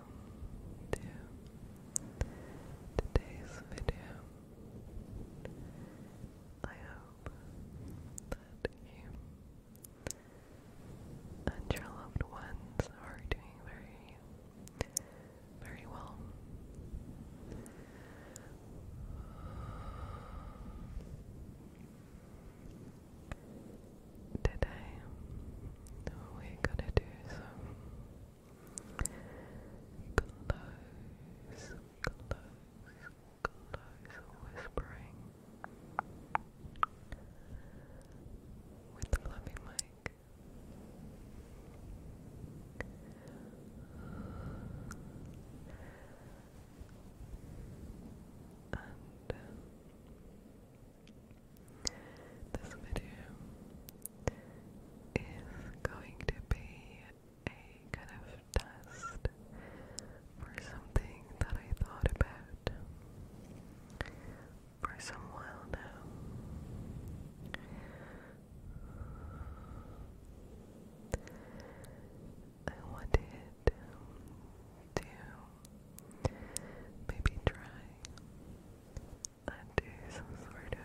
welcome to today's video. I hope that you and your loved ones are doing very, very well. Today, we're gonna do some Close, close, close whispering with the fluffy mic. This video is going to be a kind of test for something that I thought about for some while now. I wanted to maybe try and sort of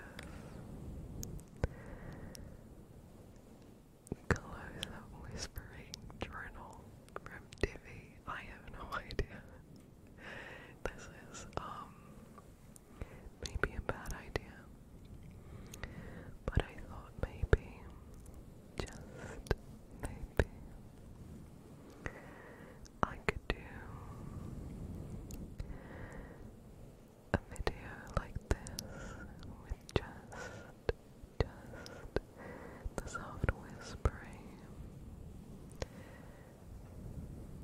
close-up whispering journal from Divi. I have no idea. This is, um, maybe a bad idea. But I thought maybe, just maybe, I could do a video like this with just, just the soft whispering.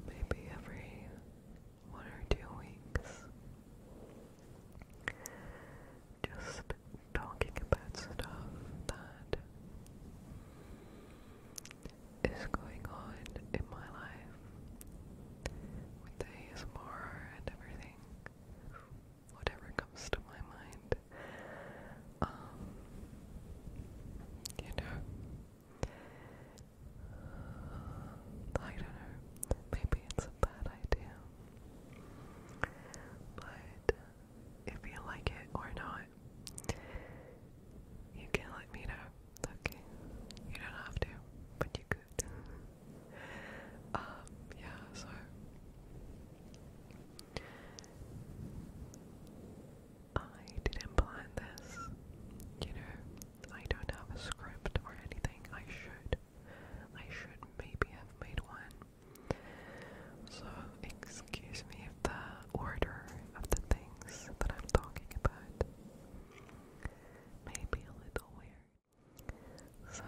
Maybe every one or two weeks. Just talking about stuff that is going on in my life with the ASMR and everything. Whatever comes to my mind. Um, you know, I don't know. Maybe it's a bad idea. But if you like it or not, you can let me know. Okay, you don't have to, but you could. Um, yeah. So. I didn't plan this, you know. I don't have a script or anything. I should. I should maybe have made one. So, excuse me if the order of the things that I'm talking about may be a little weird. So,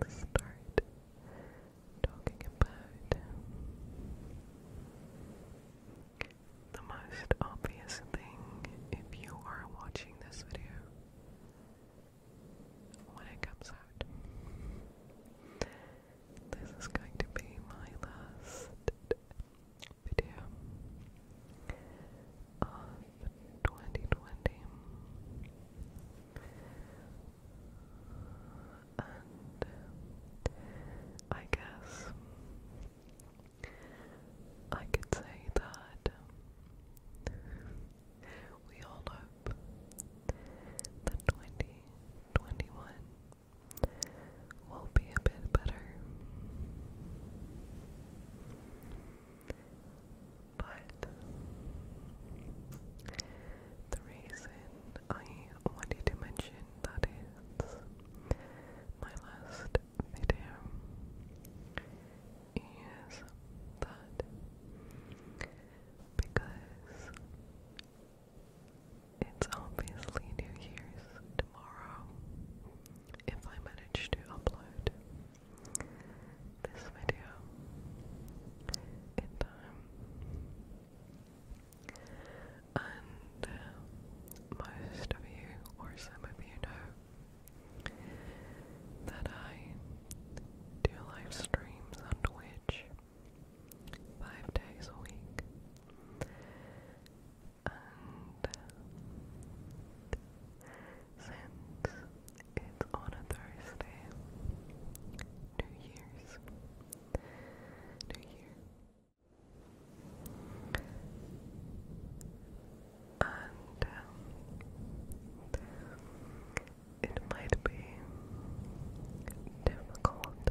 let's start talking about the most obvious thing if you are watching this video when it comes out this is going to be my last video of 2020 and I guess I could say that we all hope that 2021 will be a bit better. But the reason I wanted to mention that is my last video is that because it's obviously New Year's tomorrow, if I manage to upload this video in time. And uh, most of you, or some of you, know that I do live streams on Twitch five days a week. And uh, since it's on a Thursday, New Year's, New Year, and um, it might be difficult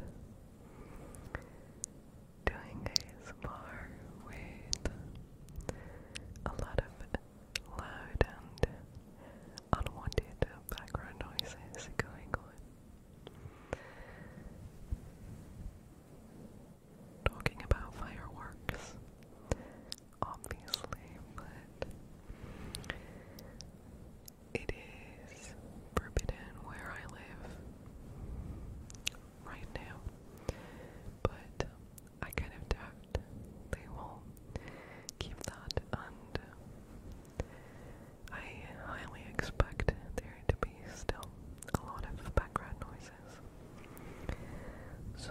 doing ASMR with a lot of loud and unwanted background noises going on. Talking about fireworks, obviously, but it is forbidden where I live right now, but I kind of doubt they will keep that, and I highly expect there to be still a lot of background noises. So,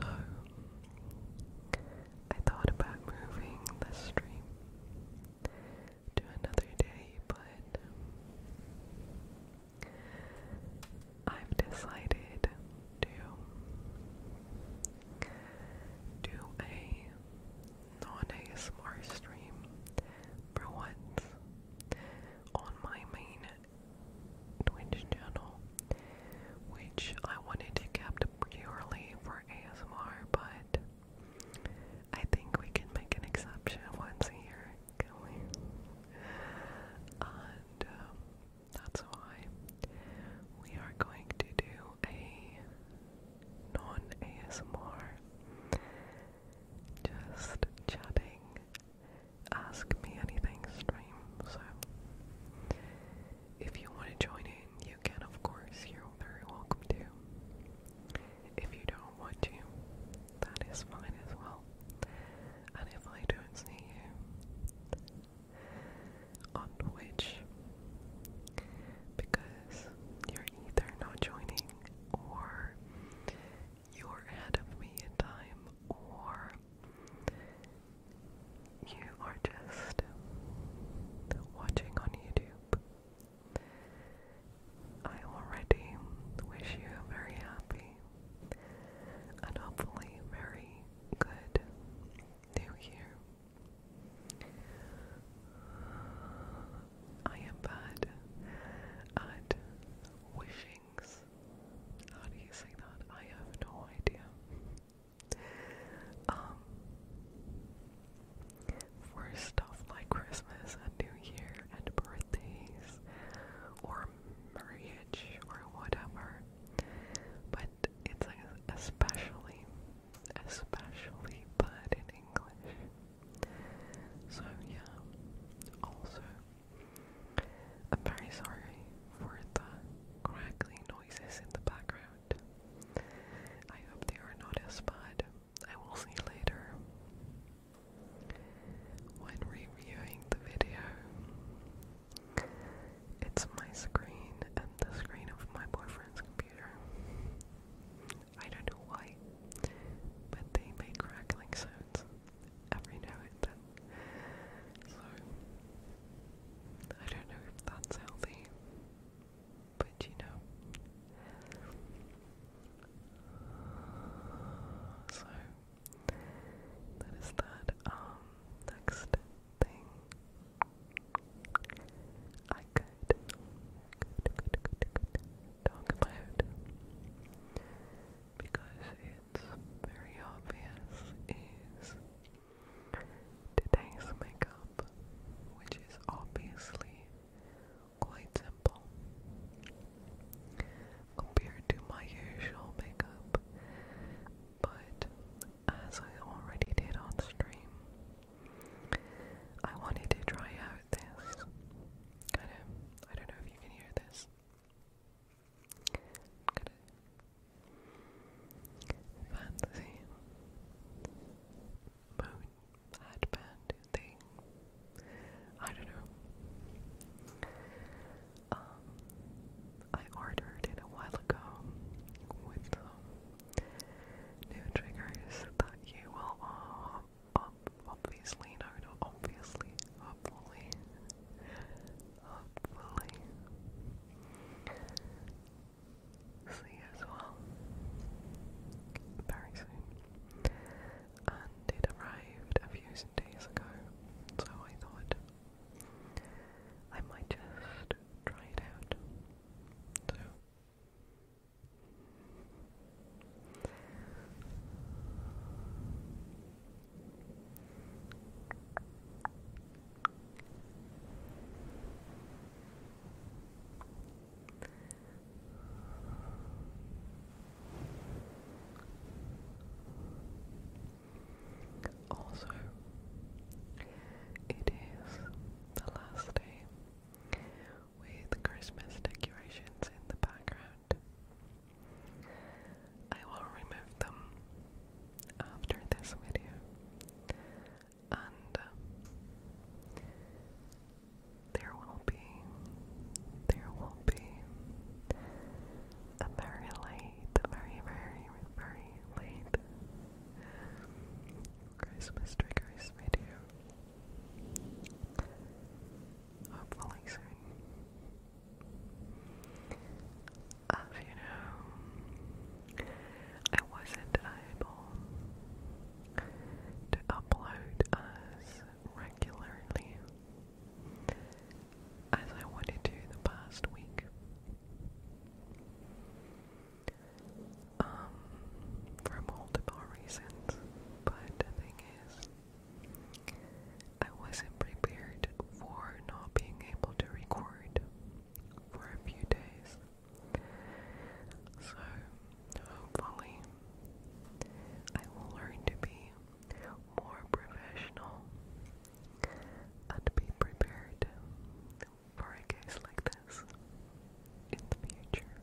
I thought about moving the stream to another day, but I've decided to do a non-ASMR stream for once on my main Twitch channel, which I wanted to keep purely for ASMR, but I think we can make an exception once a year, can we? And um, that's why we are going to do a non ASMR, just chatting, ask me anything stream. So if you want to join it, Ryan, you can, of course, you're very welcome to. If you don't want to, that is fine as well. And if I don't see you on Twitch, because you're either not joining or you're ahead of me in time or you are just watching on YouTube. I already wish you very happy and hopefully very good new year. I am bad at wishings. How do you say that? I have no idea. Um, for stuff like Christmas and New Year and birthdays or marriage or whatever. But it's especially, especially bad in English. So yeah, also, I'm very sorry for the crackling noises in the background. I hope they are not as bad. I will see later when reviewing the video. It's my screen and the screen of my boyfriend's computer. I don't know why, but they make crackling sounds every now and then. So, I don't know if that's healthy but you know. So that is that. Um, next thing I could, talk about because it's very obvious is today's makeup, which is obviously quite simple compared to my usual makeup, but as I already did on stream, I wanted to try out this kind of, I don't know if you can hear this, kind of fancy moon headband thing. I don't know. Um, I ordered it a while ago with new triggers that you will uh, obviously, no, obviously, hopefully, hopefully see as well very soon. And it arrived a few days ago, so I thought I might just try it out. So also, it is the last day with Christmas decorations in the background. I will remove them after this video and uh, there will be, there will be a very late, very, very, very late Christmas triggers video. Hopefully soon. As you know, I wasn't able to upload as regularly as I wanted to the past week. Um, for multiple reasons, but the thing is, I wasn't prepared for not being able to record for a few days. So, hopefully, I will learn to be more professional and be prepared for a case like this in the future.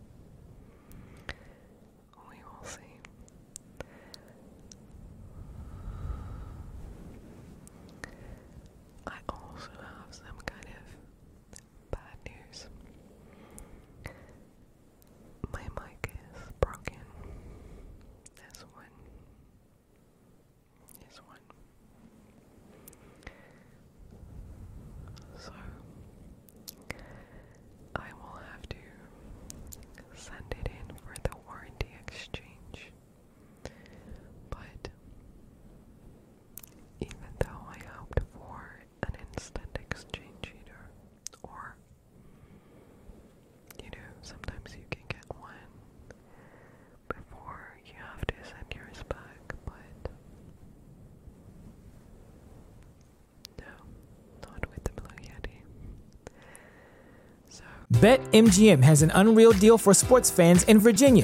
We will see. I also have some kind of Bad news. My mic is broken. This one. This one. So, I will have to send it in for the warranty exchange. But even though I hoped for an instant exchange heater, or you know, sometimes you can get one before you have to send yours back, but no, not with the Blue Yeti. So, BetMGM has an unreal deal for sports fans in Virginia.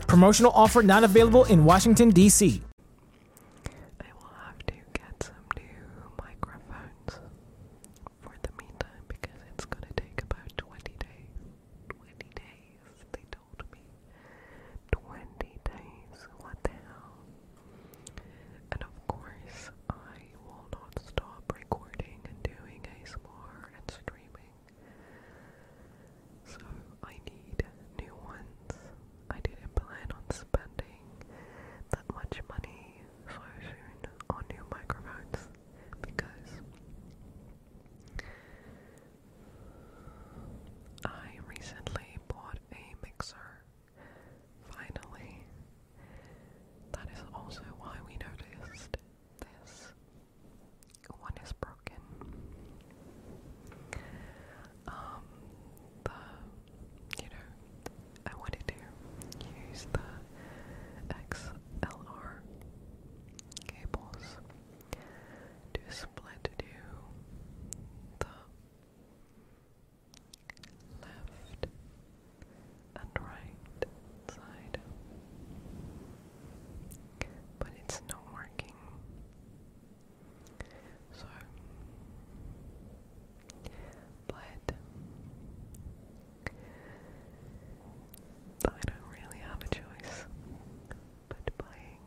Promotional offer not available in Washington, D.C. I will have to get some new microphones for the meantime because it's going to take about 20 days. 20 days, they told me. 20 days, what the hell? And of course, I will not stop recording and doing ASMR and streaming so I need new ones. I didn't plan on spending that much money so soon on new microphones because I recently bought a mixer. Finally, that is also why we noticed this one is broken. Um, the, you know, I wanted to use the XLR cables to split to do the left and right side but it's not working. So, but I don't really have a choice but buying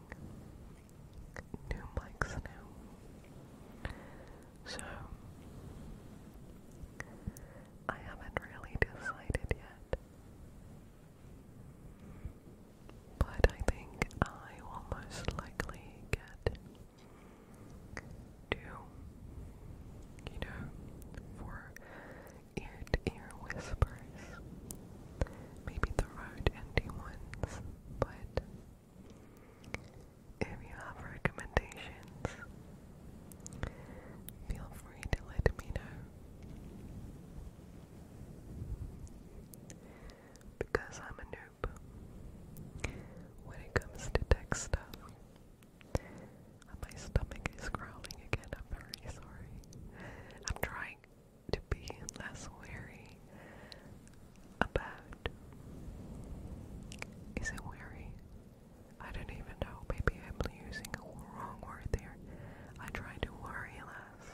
new mics now. So, I haven't really decided yet but I think I will most likely get to, you know, for ear to ear whispers. Maybe the road empty ones, but if you have recommendations, feel free to let me know. Because I'm a noob when it comes to tech stuff. My stomach is growling again. I'm very sorry. I'm trying to be less wary about. Is it wary? I don't even know. Maybe I'm using a wrong word there. I try to worry less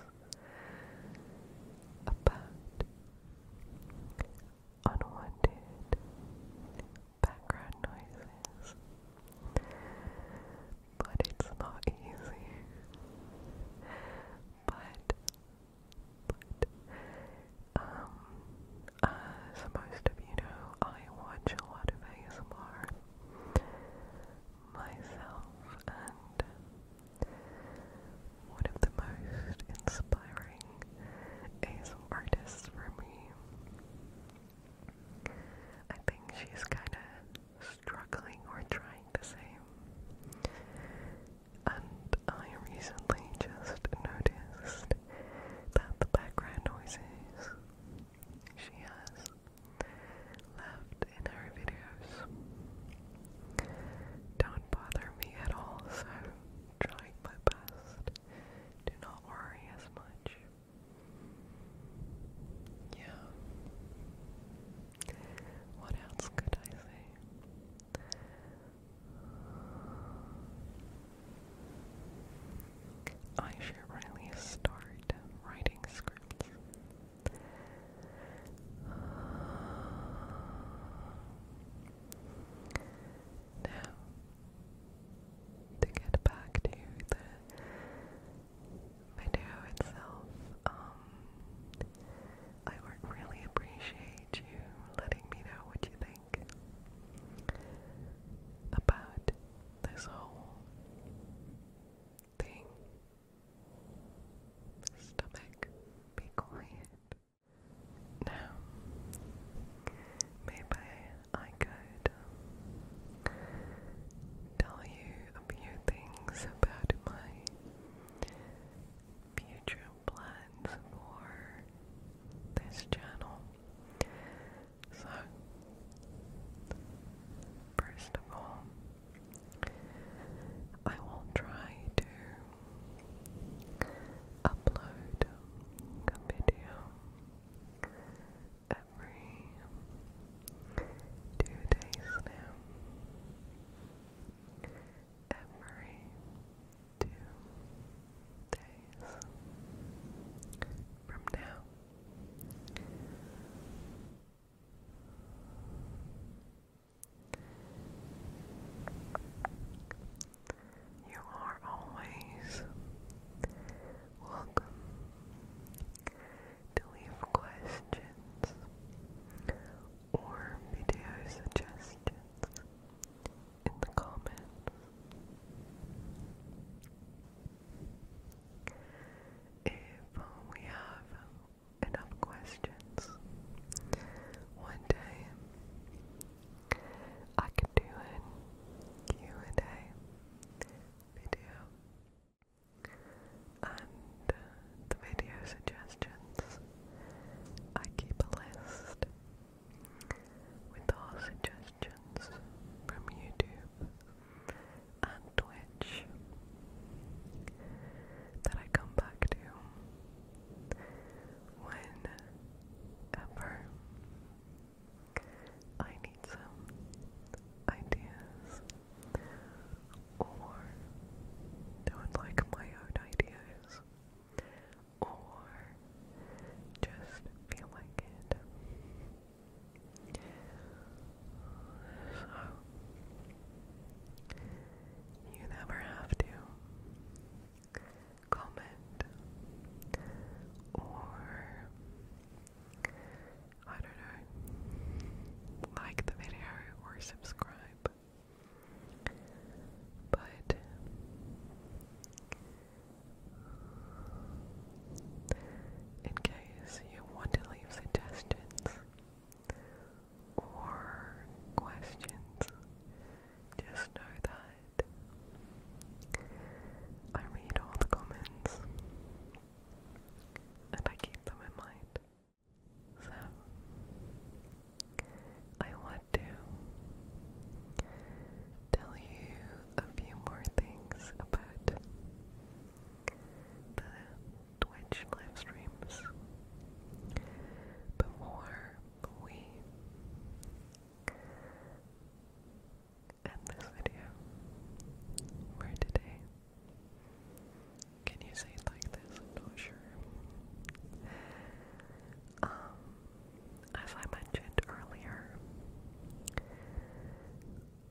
about unwanted background noises. But it's not easy. But, um, as most of you know, I watch a lot of ASMR myself and one of the most inspiring ASL artists for me. I think she's kind of struggling or trying the same. And I recently just noticed that the background noises she has left in her videos don't bother me at all, so trying my best to not worry as much. Yeah. What else could I say? I should really start writing scripts. Now, to get back to the video itself, um, I would really appreciate you letting me know what you think about this whole thing. Stomach, be quiet. Now, maybe I could um, tell you a few things about my future plans for this channel so, first of all, I will try to upload a video every two days now. Every two days from now. You are always welcome to leave questions or video suggestions in the comments if um, we have enough questions one day I can do a and a video and uh, the video suggestions I keep a list with all suggestions from YouTube and Twitch that I come back to whenever I need some ideas or don't like my own ideas or just feel like it. So, you never have to comment or I don't know, like the video or subscribe. But in case you want to leave suggestions or questions, just know that I read all the comments and I keep them in mind. So, I want to tell you a few more things about the Twitch live streams before we end this video for today. Can you say it like this? not sure. Um, as I mentioned earlier,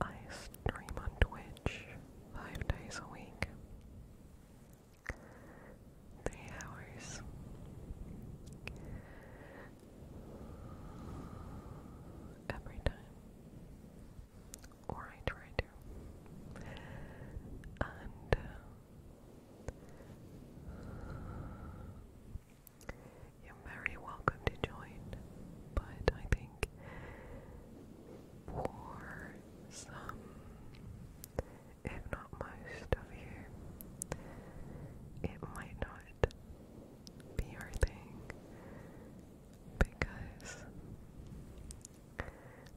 I stream on Twitch five days a week. Three hours. Every time. Or I try to. And uh, very welcome to join, but I think for some, if not most of you, it might not be your thing because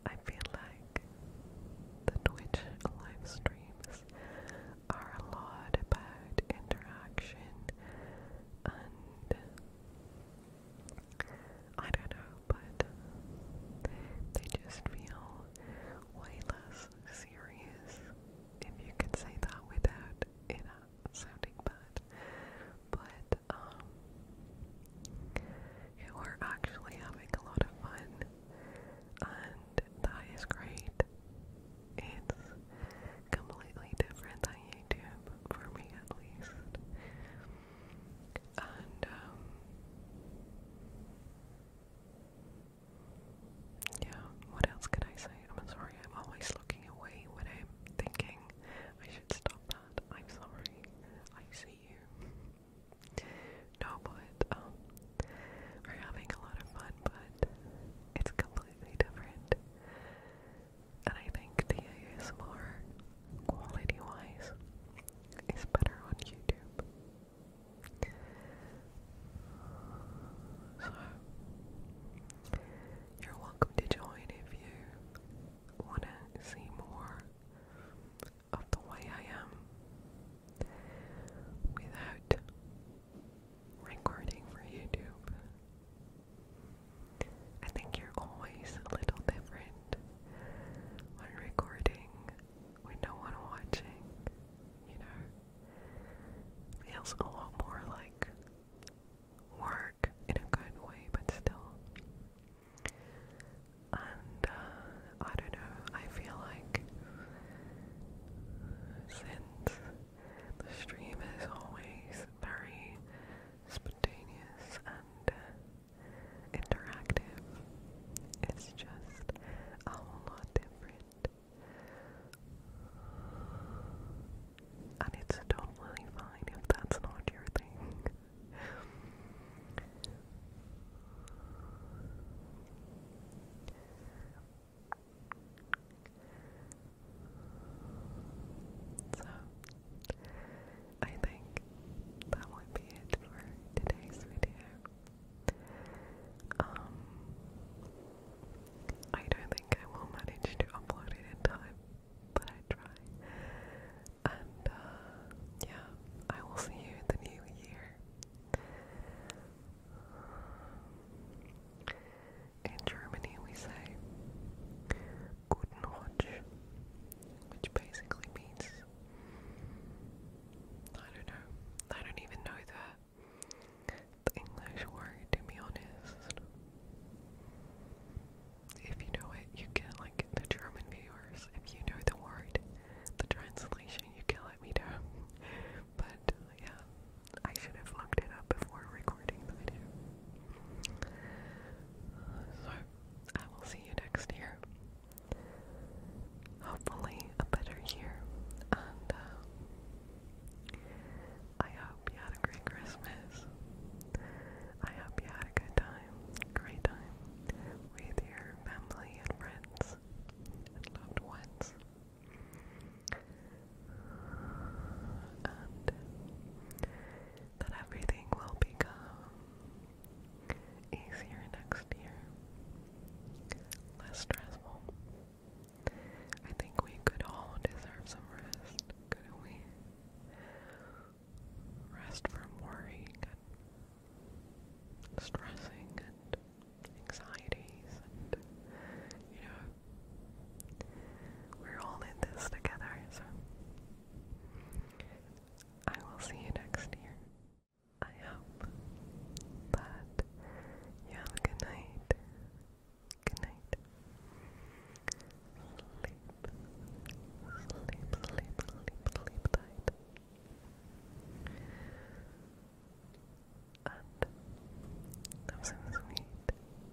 I feel like the Twitch live streams are a lot about interaction and I don't know, but they just feel way less serious, if you could say that without it sounding bad. But, um, who are actually having a lot of fun, and that is great. It's completely different, I YouTube for me at least. And um, yeah, what else can I say? I'm sorry, I'm always looking away when I'm thinking I should stop that. I'm sorry. I see you. No, but um, we're having a lot of fun, but it's completely different and I think the ASMR quality wise is better on YouTube. So, you're welcome to join if you want to see more of the way I am without recording for YouTube. I think you're always a little different when recording, when no one watching, you know. Feels a lot more like work in a good way, but still. And uh, I don't know, I feel like since the stream is always very spontaneous and uh, interactive. It's just a whole lot different. And it's totally fine if that's not your thing. So, I think that would be it for today's video. Um, I don't think I will manage to upload it in time, but I try. And, uh, yeah, I will see you in the new year. In Germany, we say Guten Rutsch, which basically means I don't know. I don't even know the, English word, to be honest. If you know it, you get like, the German viewers, if you know the word, the translation, you can let me know. But, yeah, I should have looked it up before recording. So, I will see you next year. Hopefully, a better year. And uh, I hope you had a great Christmas. I hope you had a good time, great time with your family and friends and loved ones and that everything will become easier next year, less stressful. I think we could all deserve some rest, couldn't we? Rest from worrying and stressing and anxieties and, you know, we're all in this together, so I will see you next year. I hope that you have a good night. Good night. Sleep. Sleep, sleep, sleep, sleep tight. And have some sweet, sweet,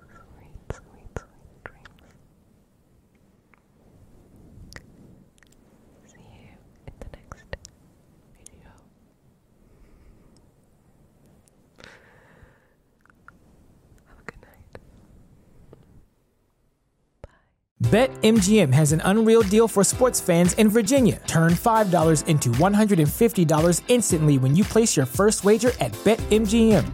sweet, sweet dreams. See you in the next video. Have a good night. Bye. BetMGM has an unreal deal for sports fans in Virginia. Turn $5 into $150 instantly when you place your first wager at Bet MGM.